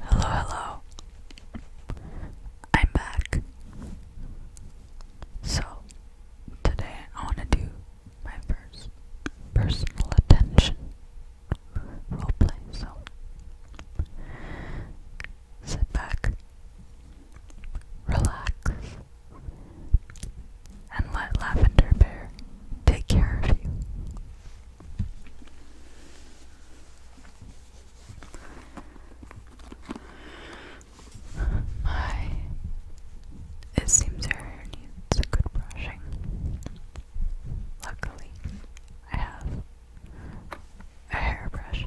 Hello, hello. I'm back. So, today I want to do my first personal attention roleplay. So, sit back, relax, and let Lavender Bear take care of you. My, it seems your hair needs a good brushing. Luckily, I have a hairbrush.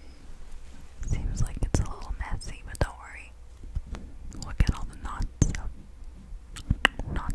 Seems like it's a little messy, but don't worry. Look at all the knots. Knots.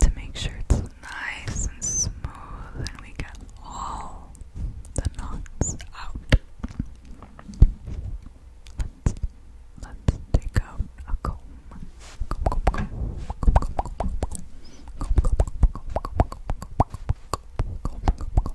To make sure it's nice and smooth and we get all the knots out. Let's let's take out a comb comb, comb, comb.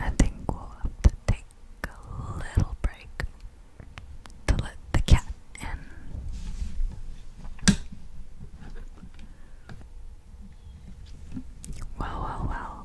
I think we'll have to take a little break to let the cat in. Well, well, well.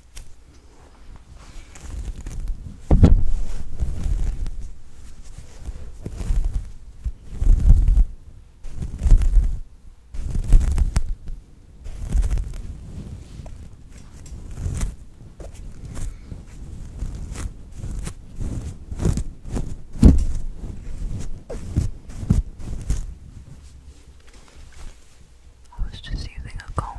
I was just using a comb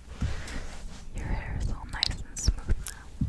Your hair is all nice and smooth now.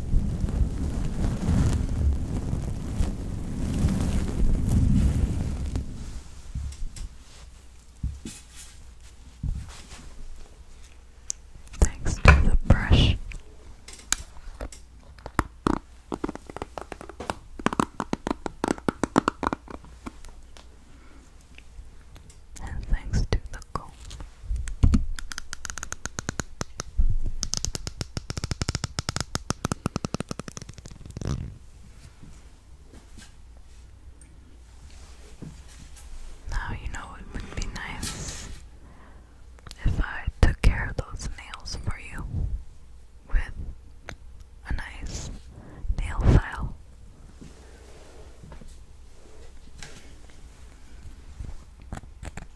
Thanks to the brush. And thanks to the comb. Now you know it would be nice if I took care of those nails for you with a nice nail file.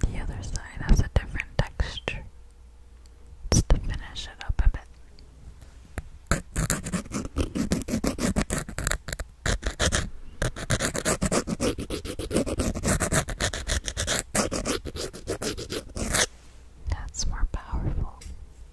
The other side has a different texture. It's to finish it up a bit. That's more powerful.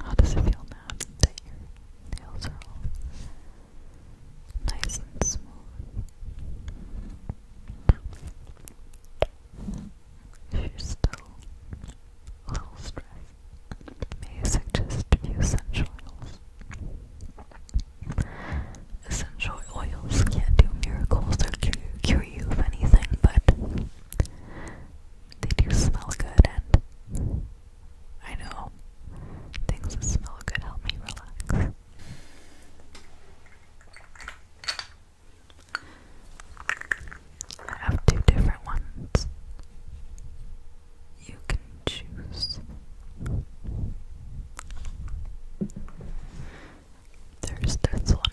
How does it feel now that your nails are all nice and smooth? If you're still a little stressed, may suggest a few essential oils? Essential oils can't do miracles or cure you of anything, but they do smell good, and I know things that smell good help me relax. I have two different ones. You can choose. There's this one.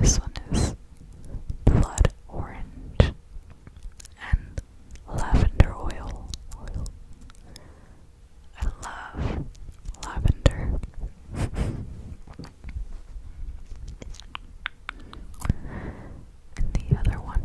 This one is blood orange and lavender oil. I love lavender. and the other one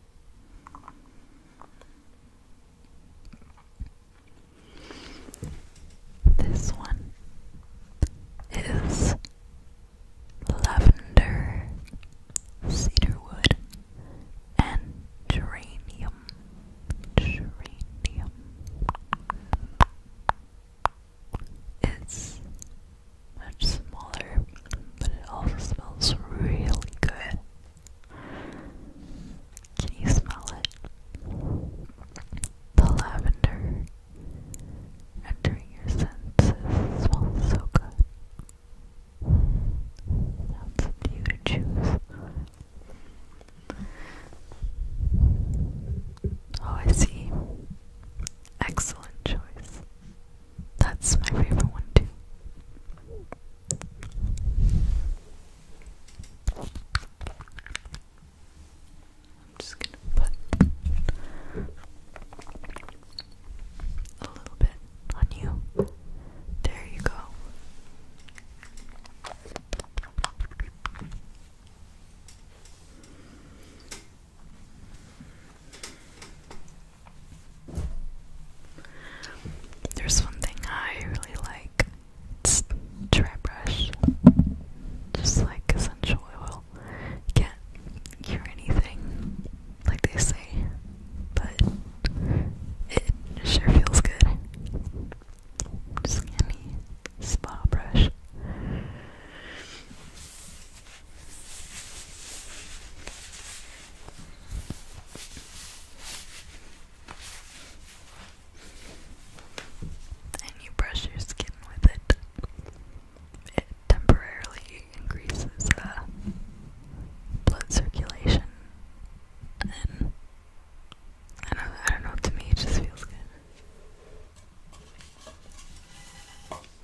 This one is lavender, cedarwood, and geranium. Geranium. It's much smaller, but it also smells really good. Can you smell it? The lavender entering your senses smells so good. Now it's you choose. Oh, I see. Excellent choice. That's my favorite one too. I'm just gonna put a little bit on you. There you go. There's one thing I really like. It's dry brush. Just like essential oil. You can't cure anything, like they say, but it sure feels good. Just give spa brush. And you brush your skin with it. It temporarily increases the uh, blood circulation, and I don't, I don't know. To me, it just feels good.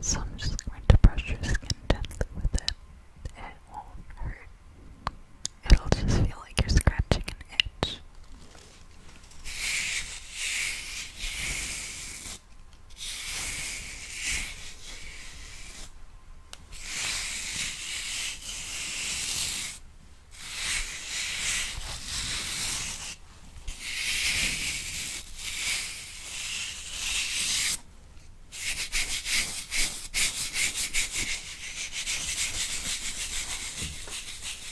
So I'm just going to brush your skin gently with it. It won't hurt. It'll just feel like you're scratching an itch.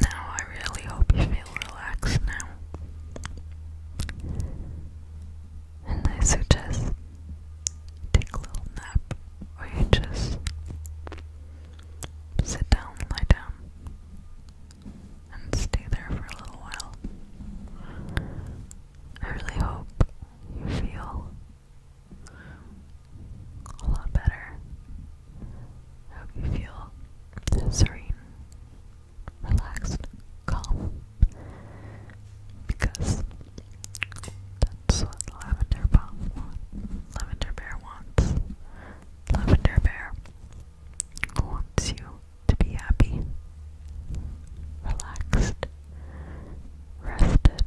Now, I really hope you feel relaxed now. And I suggest take a little nap or you just sit down, lie down, and stay there for a little while. I really hope you feel a lot better. I hope you feel serene, relaxed, calm. Because that's what Lavender Bomb wants. Lavender Bear wants. Lavender Bear wants you to be happy, relaxed, rested.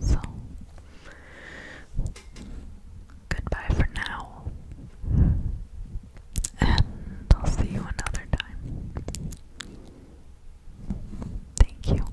So Goodbye for now. And I'll see you another time. Thank you.